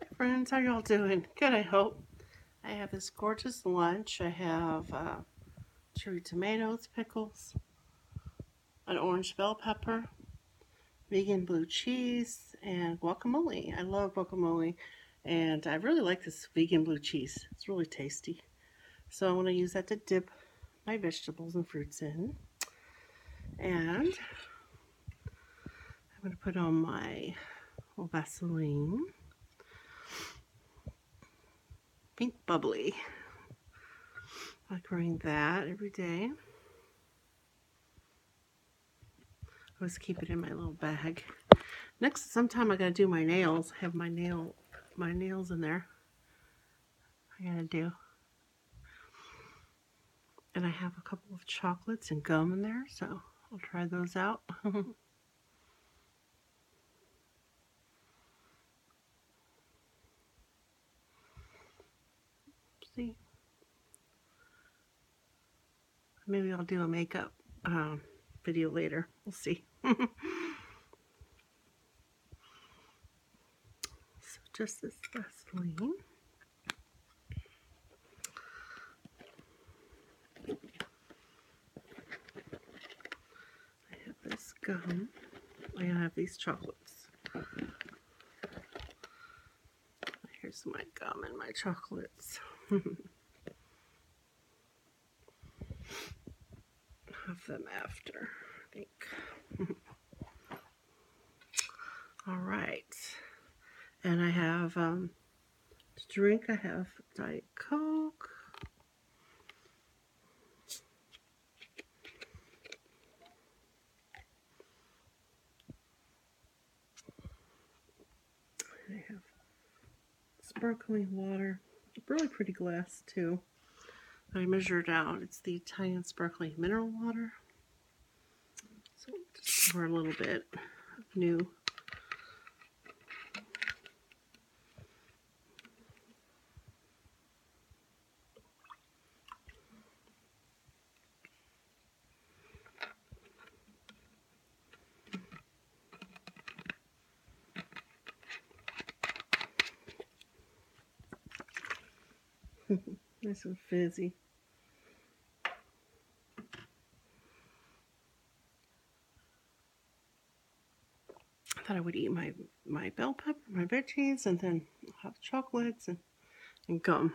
Hi friends, how y'all doing? Good, I hope. I have this gorgeous lunch. I have uh, cherry tomatoes, pickles, an orange bell pepper, vegan blue cheese, and guacamole. I love guacamole, and I really like this vegan blue cheese. It's really tasty. So I'm going to use that to dip my vegetables and fruits in. And I'm going to put on my Vaseline. Pink Bubbly. I like wearing that every day. always keep it in my little bag. Next, sometime I gotta do my nails. have my nail, my nails in there. I gotta do. And I have a couple of chocolates and gum in there, so I'll try those out. See? Maybe I'll do a makeup um, video later. We'll see. so just this Vaseline. I have this gum. I have these chocolates. Here's my gum and my chocolates. have them after, I think. All right. And I have um, drink. I have Diet Coke. I have sparkling water. Really pretty glass, too. I measured out. It's the Italian sparkling mineral water. So just pour a little bit new nice and fizzy. I thought I would eat my, my bell pepper, my veggies, and then have chocolates and, and gum.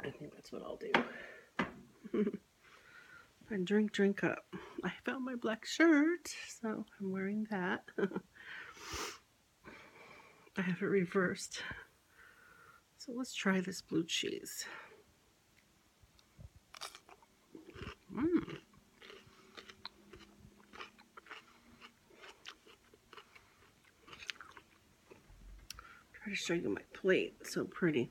I think that's what I'll do. and drink, drink up. I found my black shirt, so I'm wearing that. I have it reversed. So let's try this blue cheese. Mmm. Try to show you my plate. so pretty.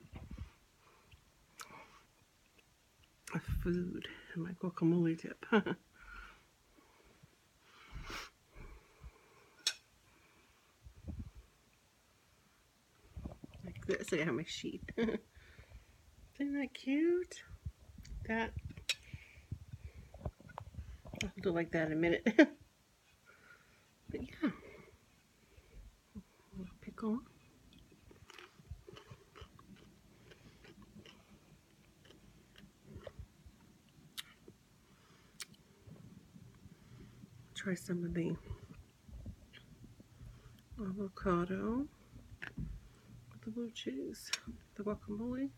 The food and my guacamole dip. Like this, I got my sheet. Isn't that cute? That. I'll do like that in a minute. but yeah. Pickle. Try some of the avocado with the blue cheese, the guacamole.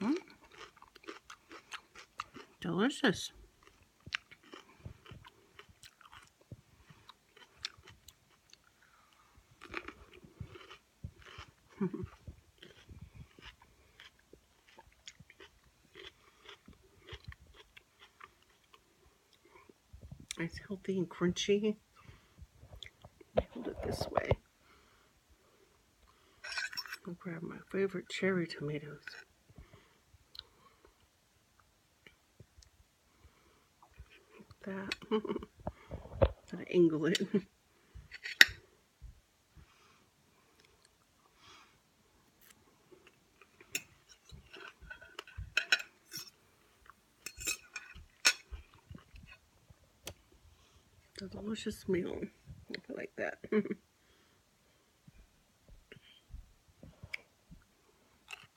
Mm. Delicious. it's healthy and crunchy. Hold it this way. I'll grab my favorite cherry tomatoes that. Gotta angle it. a delicious meal like that.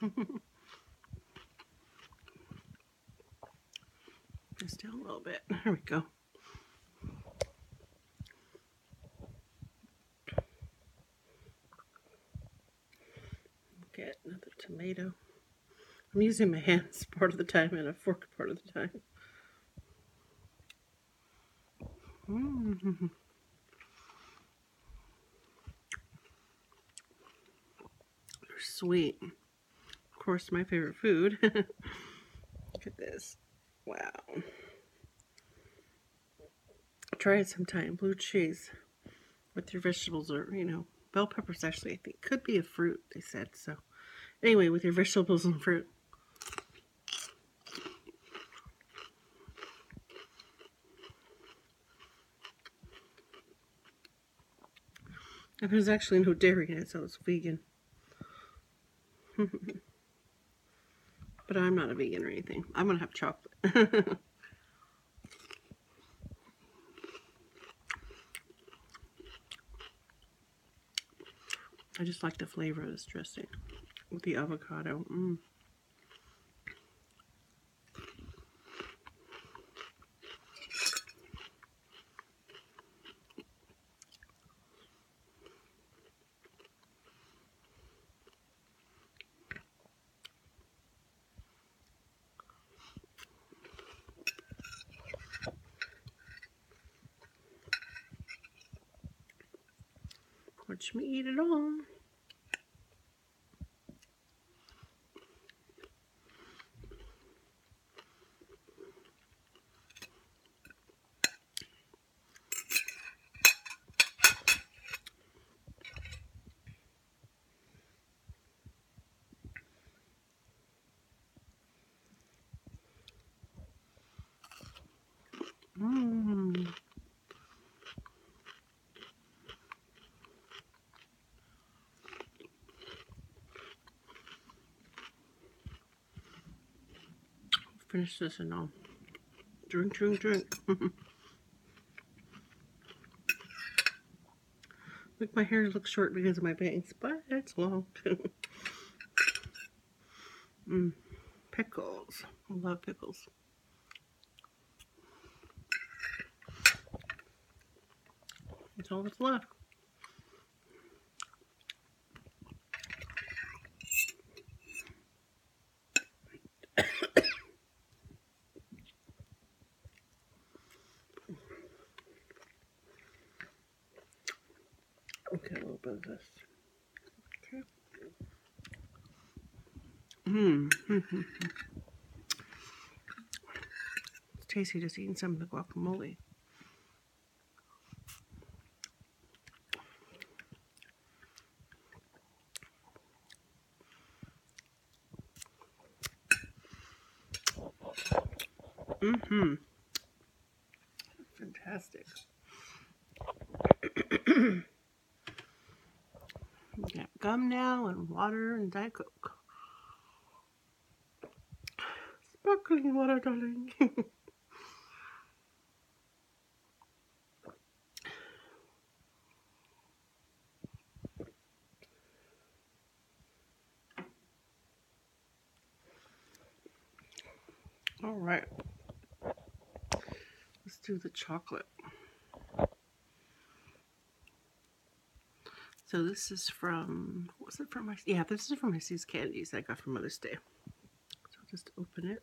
Still a little bit. There we go. Get another tomato. I'm using my hands part of the time and a fork part of the time. -hmm. sweet. Of course, my favorite food. Look at this. Wow. Try it sometime. Blue cheese with your vegetables or, you know, bell peppers actually, I think, could be a fruit, they said, so. Anyway, with your vegetables and fruit. there's actually no dairy in it, so it's vegan. but I'm not a vegan or anything. I'm going to have chocolate. I just like the flavor of this dressing with the avocado. Mm. Watch me eat it all. Mm. Finish this and I'll drink, drink, drink. Make my hair look short because of my bangs, but it's long. mm. Pickles. I love pickles. That's all that's left. Okay, a little bit of this. Okay. Mmm. it's tasty just eating some of the guacamole. Mm-hmm. Fantastic. got gum now and water and Diet Coke. Sparkling water, darling. All right. Let's do the chocolate. So this is from, was it from my, yeah, this is from my Candies I got for Mother's Day. So I'll just open it.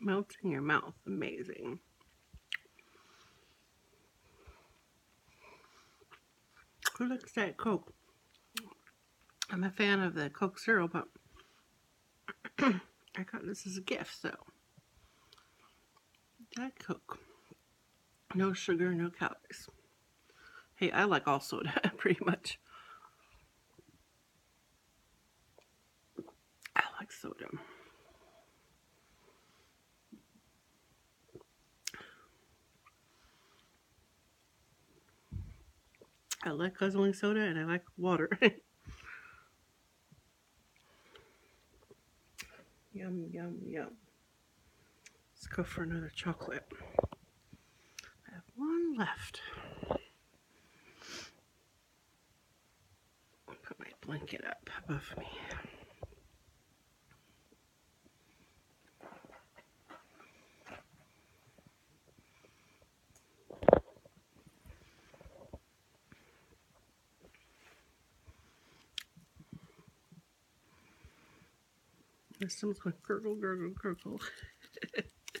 Melts in your mouth. Amazing. Who likes that Coke? I'm a fan of the Coke syrup, but I got this as a gift, so Diet Coke. No sugar, no calories. Hey, I like all soda, pretty much. I like soda. I like guzzling soda and I like water. yum, yum, yum. Let's go for another chocolate. I have one left. Put my blanket up above me. This sounds like gurgle, gurgle, gurgle.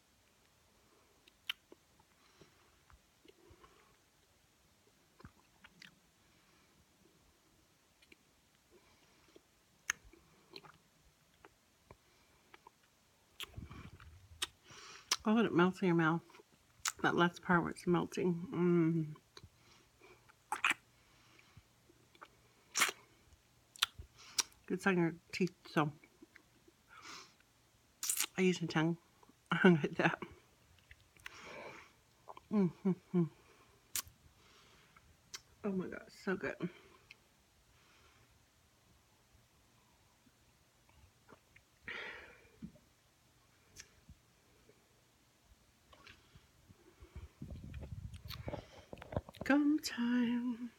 Oh, let it melt in your mouth. That last part where it's melting. Mm. Good on your teeth, so I use my tongue. I like that. Oh my God, so good. Come time.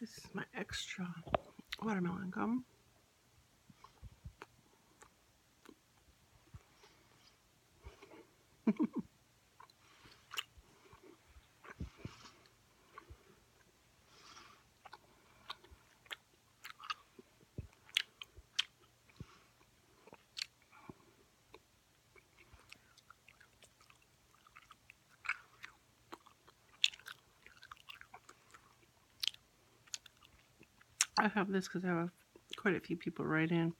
This is my extra watermelon gum. I have this because I have quite a few people write in.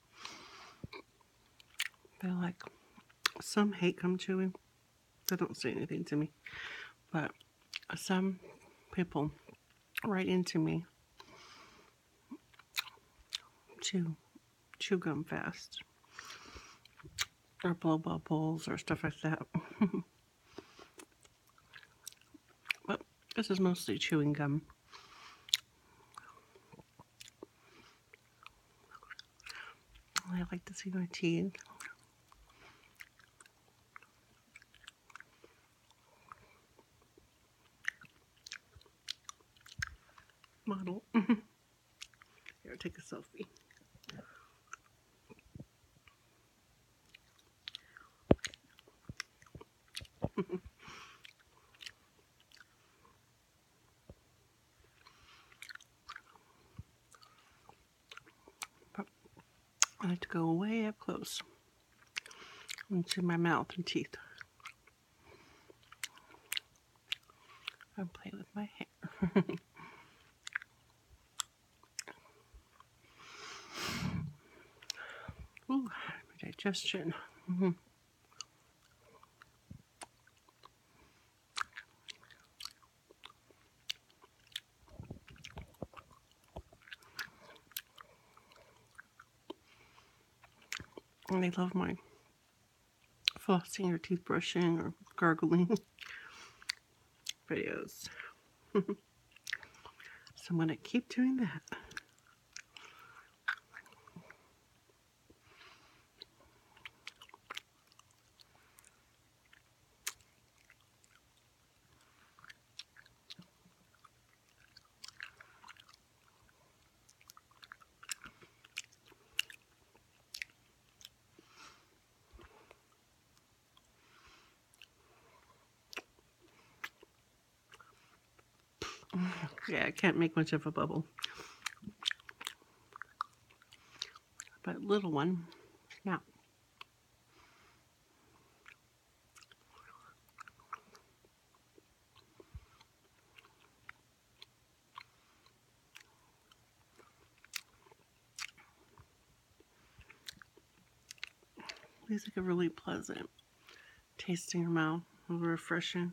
They're like, some hate come to me, They don't say anything to me. But some people write into me chew, chew gum fast, or blow bubbles, or stuff like that. but this is mostly chewing gum. I like to see my teeth model. Mm-hmm. Here, take a selfie. I like to go way up close see my mouth and teeth. I play with my hair. Ooh, my digestion. Mm-hmm. And they love my flossing or toothbrushing or gargling videos. so I'm going to keep doing that. Yeah, I can't make much of a bubble. But little one, yeah. These like a really pleasant taste in your mouth, refreshing.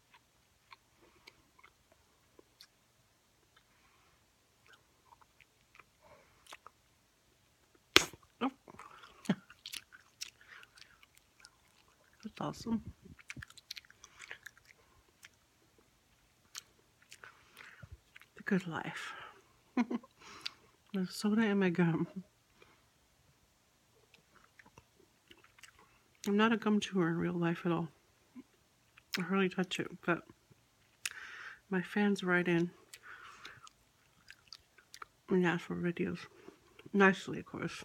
That's awesome. The good life. There's soda in my gum. I'm not a gum chewer in real life at all. I hardly touch it, but my fans write in and ask for videos. Nicely, of course.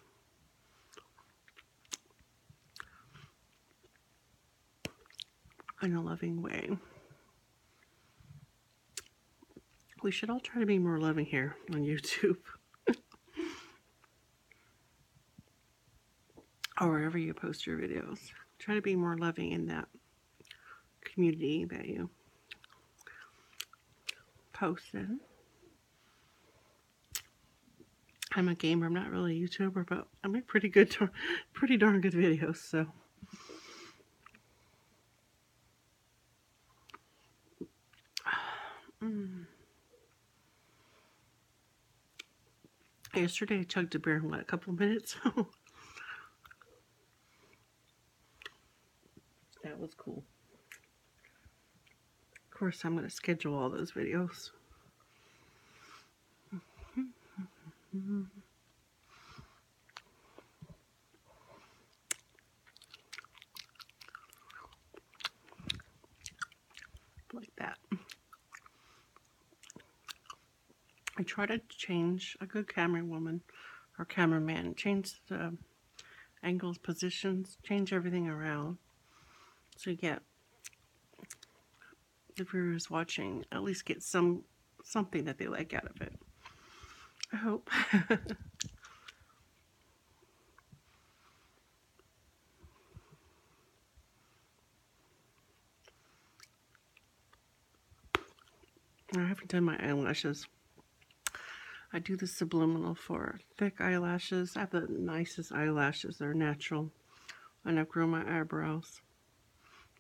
In a loving way. We should all try to be more loving here on YouTube or wherever you post your videos. Try to be more loving in that community that you post in. I'm a gamer. I'm not really a YouTuber, but I make pretty good, pretty darn good videos. So. Mm. Yesterday I chugged a beer in what, a couple of minutes? that was cool. Of course, I'm going to schedule all those videos like that. I try to change a good camera woman or cameraman, change the angles, positions, change everything around so you get the viewers watching at least get some something that they like out of it. I hope. I haven't done my eyelashes. I do the subliminal for thick eyelashes. I have the nicest eyelashes. They're natural. And I've grown my eyebrows.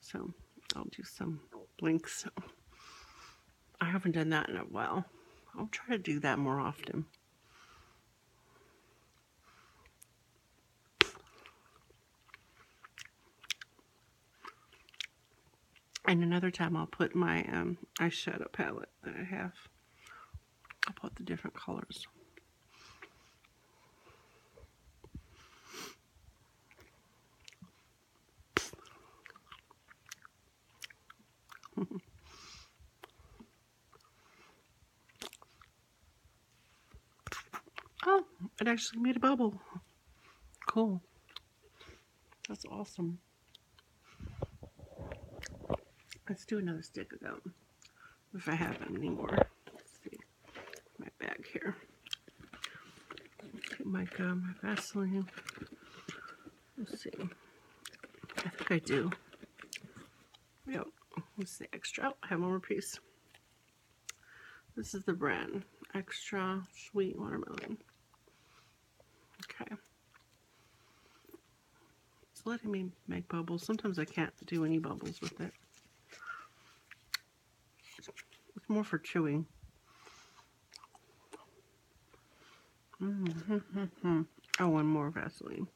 So I'll do some blinks. I haven't done that in a while. I'll try to do that more often. And another time I'll put my um, eyeshadow palette that I have. I'll put the different colors. Oh, it actually made a bubble. Cool. That's awesome. Let's do another stick of them. If I have them anymore, Let's see. My bag here. my gum, my Vaseline. Let's see. I think I do. Yep, this is the extra. I have one more piece. This is the brand Extra Sweet Watermelon. Okay. It's letting me make bubbles. Sometimes I can't do any bubbles with it. It's more for chewing. Mm -hmm. Oh, one more Vaseline.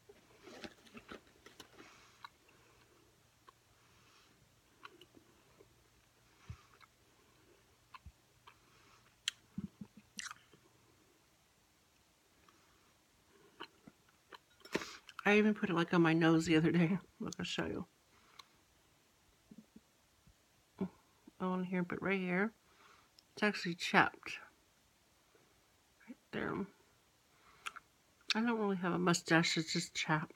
I even put it like on my nose the other day. Look, I'll show you. On here, but right here, it's actually chapped. Right there. I don't really have a mustache, it's just chap.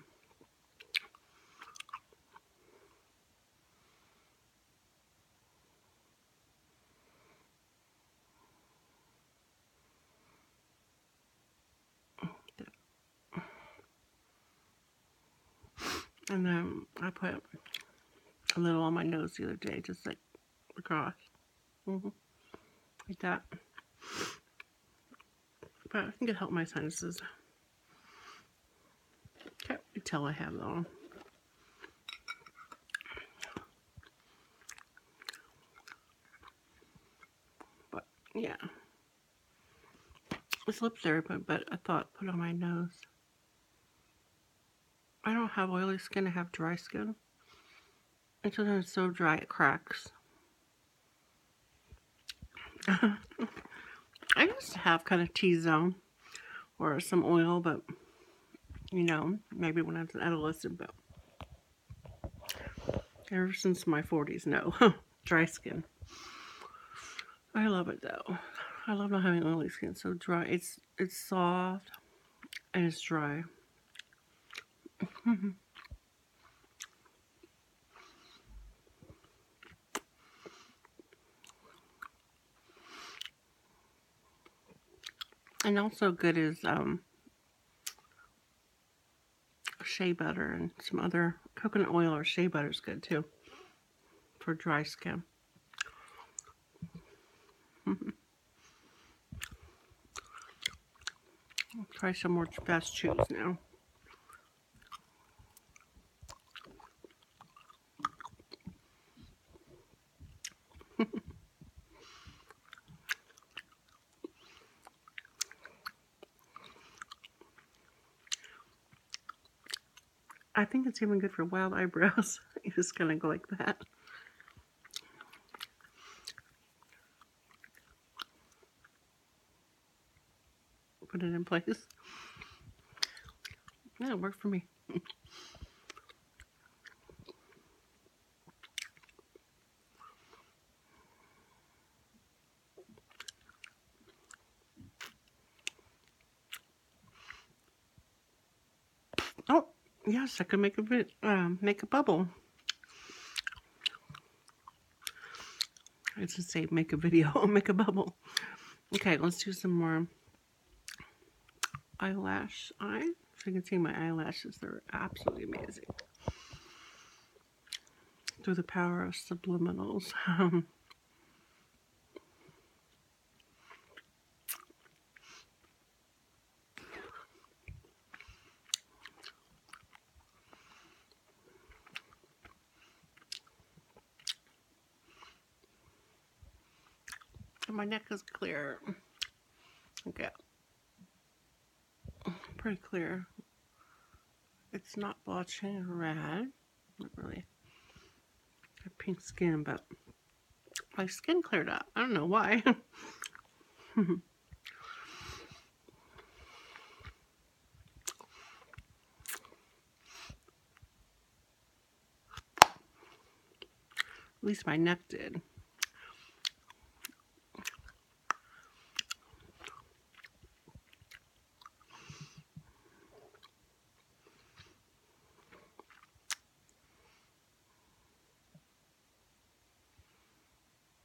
And then I put a little on my nose the other day, just like across. Mm -hmm. Like that. But I think it helped my sinuses. Can't tell I have though. But yeah. It's lip therapy, but I thought put on my nose. I don't have oily skin, I have dry skin. It's so dry it cracks. I used to have kind of T-zone or some oil, but you know, maybe when I was an adolescent, but ever since my 40s, no. dry skin. I love it though. I love not having oily skin. So dry. It's it's soft and it's dry. and also good is um, shea butter and some other coconut oil or shea butter is good too for dry skin. I'll try some more fast chews now. I think it's even good for wild eyebrows. It's just kind of go like that. Put it in place. That it worked for me. Oh, yes, I could make a bit, um, make a bubble. I just say make a video, make a bubble. Okay, let's do some more eyelash eye. if you can see my eyelashes, they're absolutely amazing. Through the power of subliminals. Um, my neck is clear. Okay. Pretty clear. It's not blotchy red. Not really. A pink skin, but my skin cleared up. I don't know why. At least my neck did.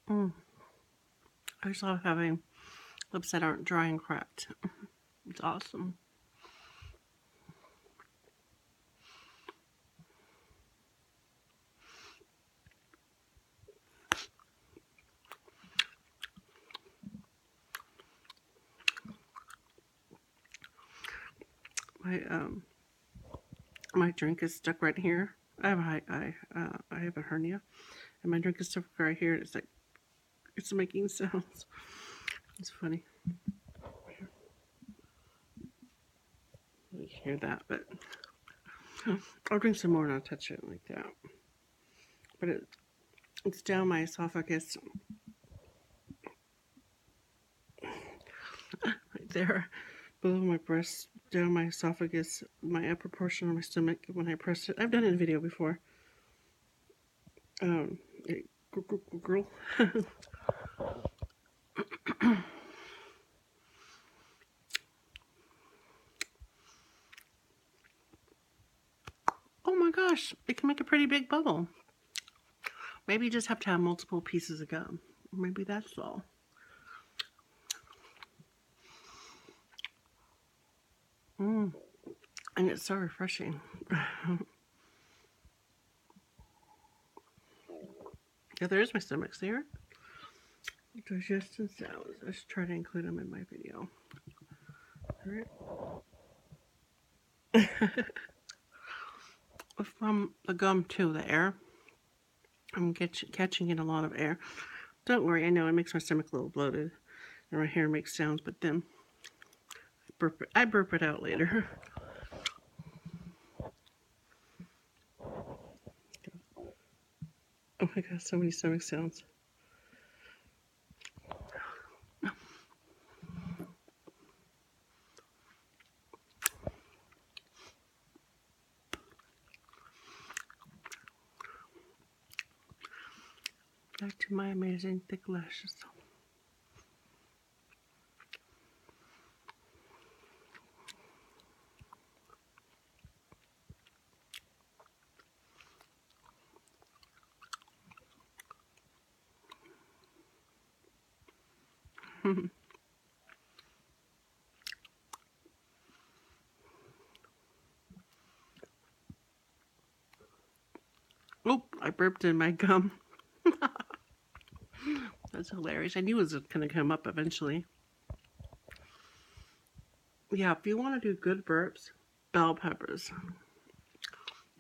Mm. I just love having lips that aren't dry and cracked. It's awesome my um, my drink is stuck right here. I have a high, I uh, I have a hernia, and my drink is stuck right here. It's like it's making sounds. It's funny. You hear that, but I'll drink some more and I'll touch it like that. But it, it's down my esophagus right there, below my breast, down my esophagus, my upper portion of my stomach when I press it. I've done it in video before. Um, girl. oh my gosh, it can make a pretty big bubble. Maybe you just have to have multiple pieces of gum. Maybe that's all. Mm. And it's so refreshing. yeah, there's my stomachs there. Digestion sounds. I should try to include them in my video. Alright. From the gum to the air. I'm catch, catching in a lot of air. Don't worry, I know it makes my stomach a little bloated. And my hair makes sounds, but then I burp it, I burp it out later. Oh my god, so many stomach sounds. Back to my amazing thick lashes. oh, I burped in my gum. That's hilarious. I knew it was going to come up eventually. Yeah, if you want to do good burps, bell peppers.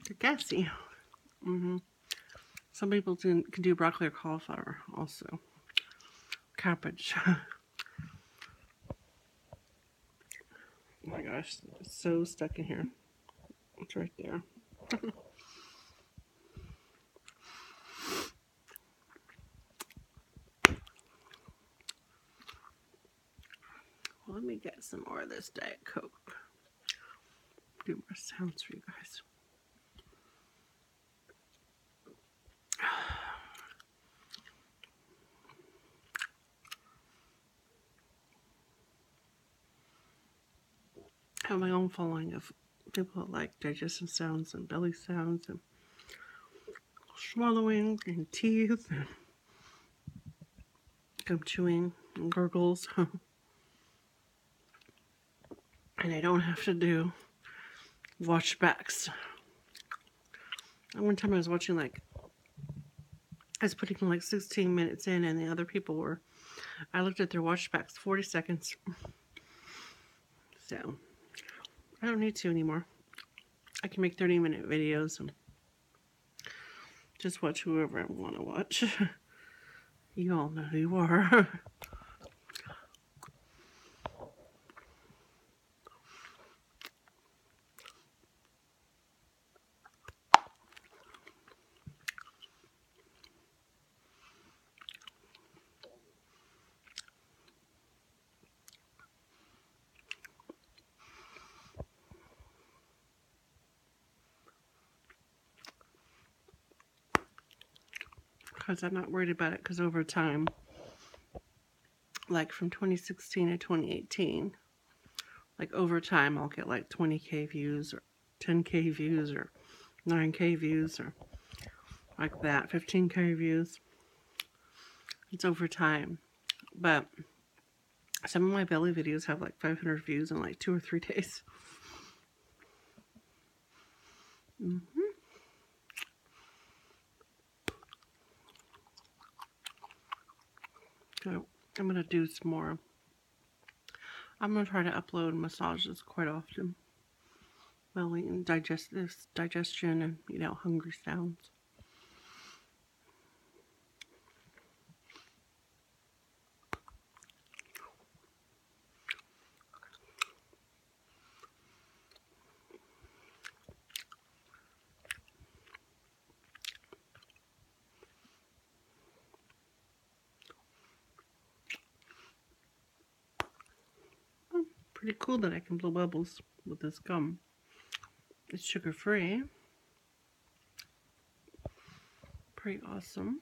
They're gassy. hmm some people can, do broccoli or cauliflower also. Cabbage. oh my gosh, so stuck in here. It's right there. Let me get some more of this Diet Coke. Do more sounds for you guys have my own following of people like digestive sounds and belly sounds and swallowing and teeth and I'm chewing and gurgles. and I don't have to do watchbacks. And one time I was watching like I was putting like 16 minutes in and the other people were I looked at their watchbacks 40 seconds. So I don't need to anymore. I can make 30 minute videos and just watch whoever I want to watch. You all know who you are. Because I'm not worried about it because over time, like from 2016 to 2018, like over time I'll get like 20k views or 10k views or 9k views or like that, 15k views. It's over time. But some of my belly videos have like 500 views in like two or three days. Mm hmm So I'm going to do some more. I'm going to try to upload massages quite often. Belly and digest this digestion and, you know, hungry sounds pretty cool that I can blow bubbles with this gum. It's sugar free. Pretty awesome.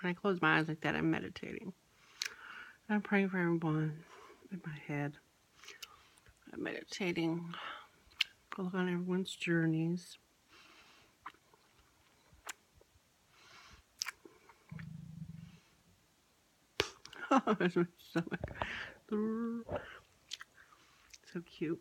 When I close my eyes like that, I'm meditating. I'm praying for everyone in my head. I'm meditating along everyone's journeys. So cute.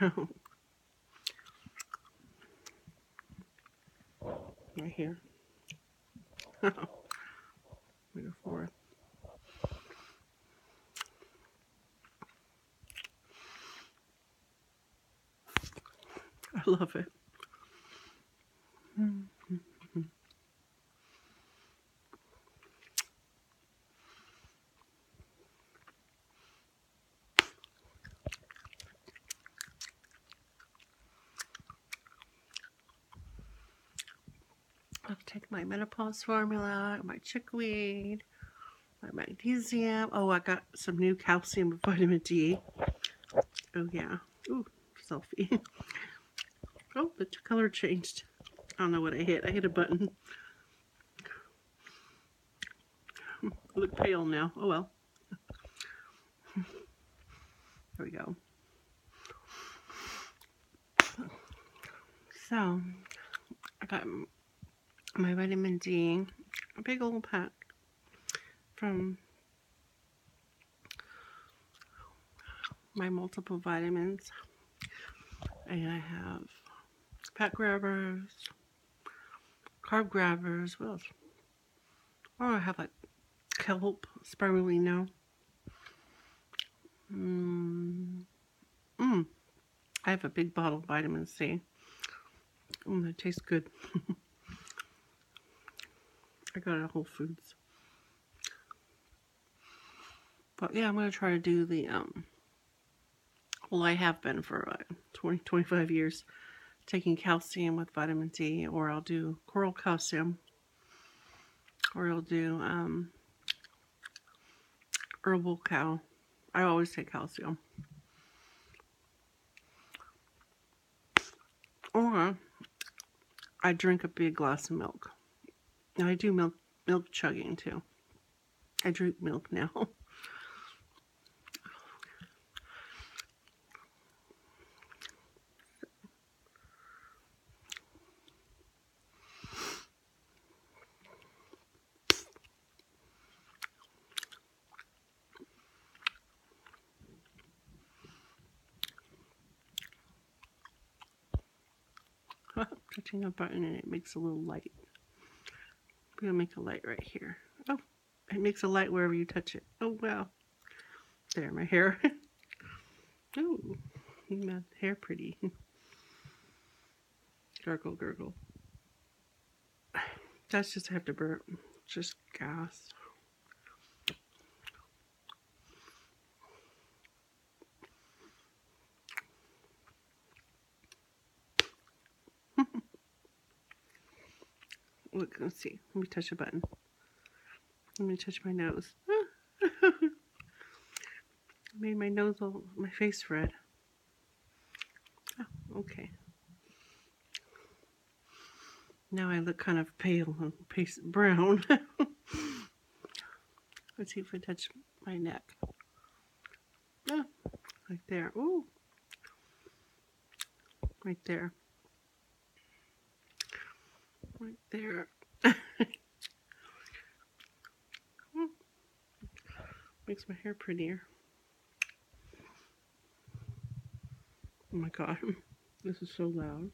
right here. Number four. I love it. i take my menopause formula, my chickweed, my magnesium. Oh, I got some new calcium and vitamin D. Oh, yeah. Ooh, selfie. oh, the color changed. I don't know what I hit. I hit a button. I look pale now. Oh well. There we go. So, I got my vitamin D, a big old pack from my multiple vitamins. And I have fat grabbers, carb grabbers, what else? Oh, I have like kelp, spirulina. Mmm. Mm. I have a big bottle of vitamin C. Mm, that tastes good. I got it at Whole Foods. But yeah, I'm going to try to do the, um, well, I have been for uh, 20, 25 years taking calcium with vitamin D, or I'll do coral calcium, or I'll do um, herbal cow. I always take calcium. Or I drink a big glass of milk. I do milk milk chugging too. I drink milk now. touching a button and it makes a little light. We're going to make a light right here. Oh, it makes a light wherever you touch it. Oh, wow. There, my hair. oh, my hair pretty. gurgle, gurgle. That's just I have to burp. Just gas. let's see. Let me touch a button. Let me touch my nose. made my nose all, my face red. Ah, okay. Now I look kind of pale and paste brown. Let's see if I touch my neck. Ah, right there. Ooh. Right there. Right there. Makes my hair prettier. Oh my god, this is so loud.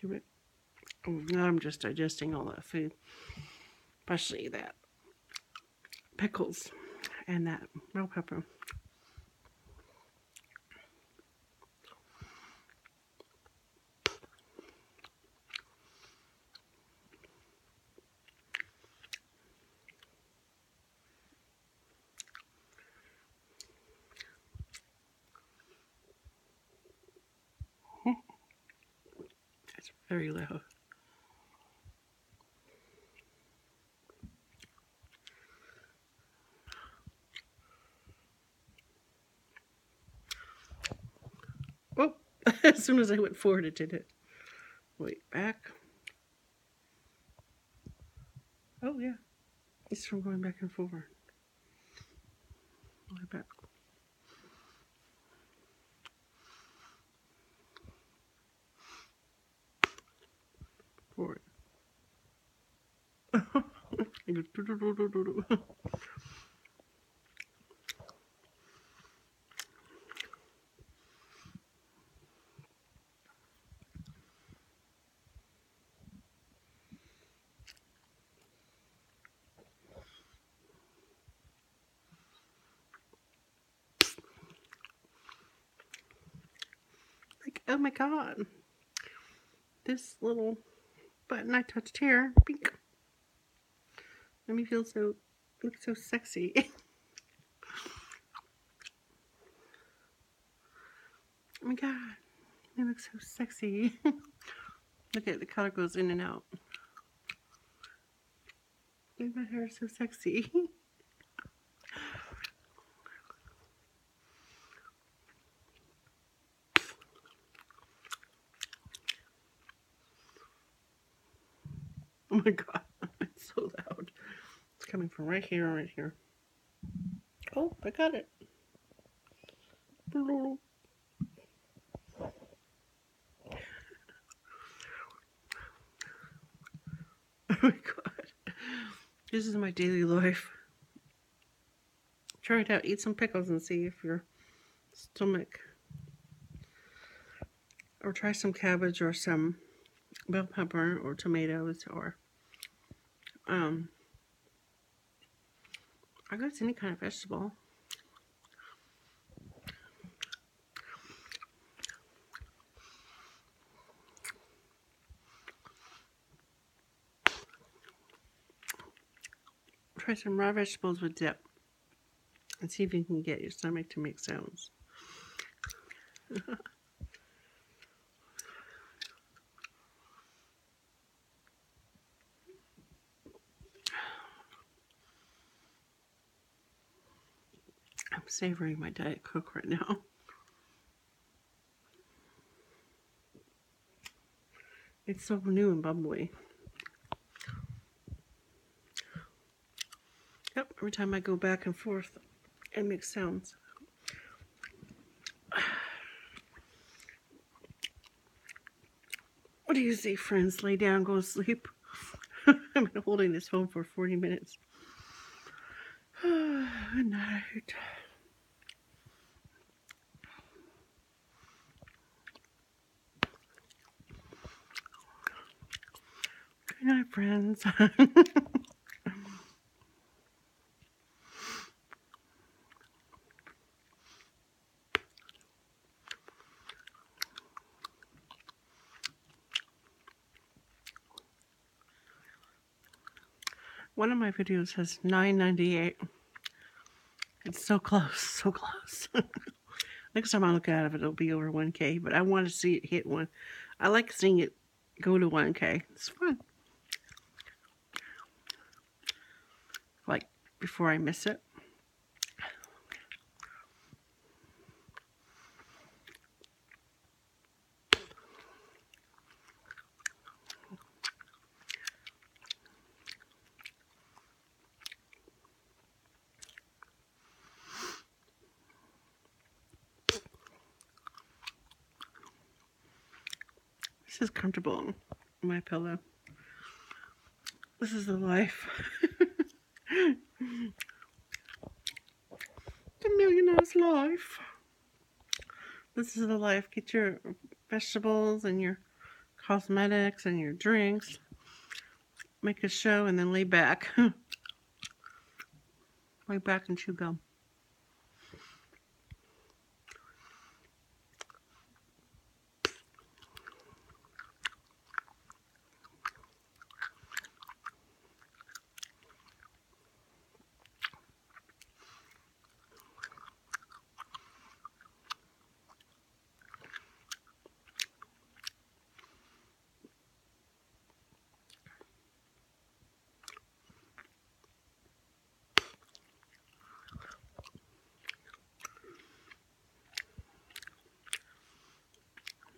Give it. Oh, I'm just digesting all that food, especially that pickles and that bell pepper. That's very loud. Oh, as soon as I went forward, it did it. Wait, back. Oh, yeah. It's from going back and forward. back. Forward. Like, oh my god, this little button I touched here, pink let me feel so, look so sexy. oh my god, it looks so sexy. look at the color goes in and out. my hair is so sexy. Oh my god, it's so loud. It's coming from right here, right here. Oh, I got it. Oh my god. This is my daily life. Try it out. Eat some pickles and see if you're stomach or try some cabbage or some bell pepper or tomatoes or um, I guess any kind of vegetable. Try some raw vegetables with dip and see if you can get your stomach to make sounds. I'm savoring my Diet Coke right now. It's so new and bubbly. Yep, every time I go back and forth, and make sounds. What do you say, friends? Lay down, go to sleep. I've been holding this phone for 40 minutes. Good night. Good friends. One of my videos has 998. It's so close, so close. Next time I look at it, it'll be over 1K, but I want to see it hit 1. I like seeing it go to 1K. It's fun. Like, before I miss it. This is comfortable, my pillow. This is the life. the millionaire's life. This is the life. Get your vegetables and your cosmetics and your drinks, make a show, and then lay back. lay back and chew gum.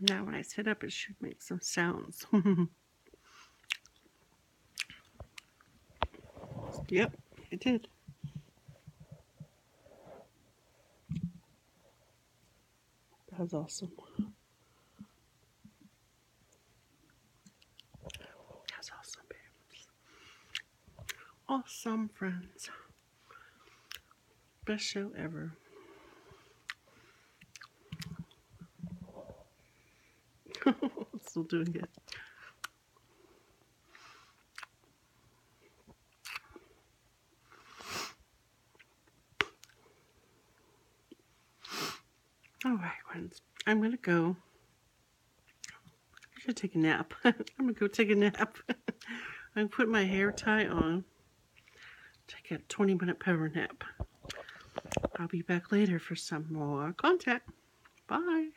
Now when I sit up, it should make some sounds. yep, it did. That was awesome. That's awesome, babes. Awesome, friends. Best show ever. Still doing it. All right, friends. I'm going to go. I should take a nap. I'm going to go take a nap. I'm gonna put my hair tie on. Take a 20 minute power nap. I'll be back later for some more content. Bye.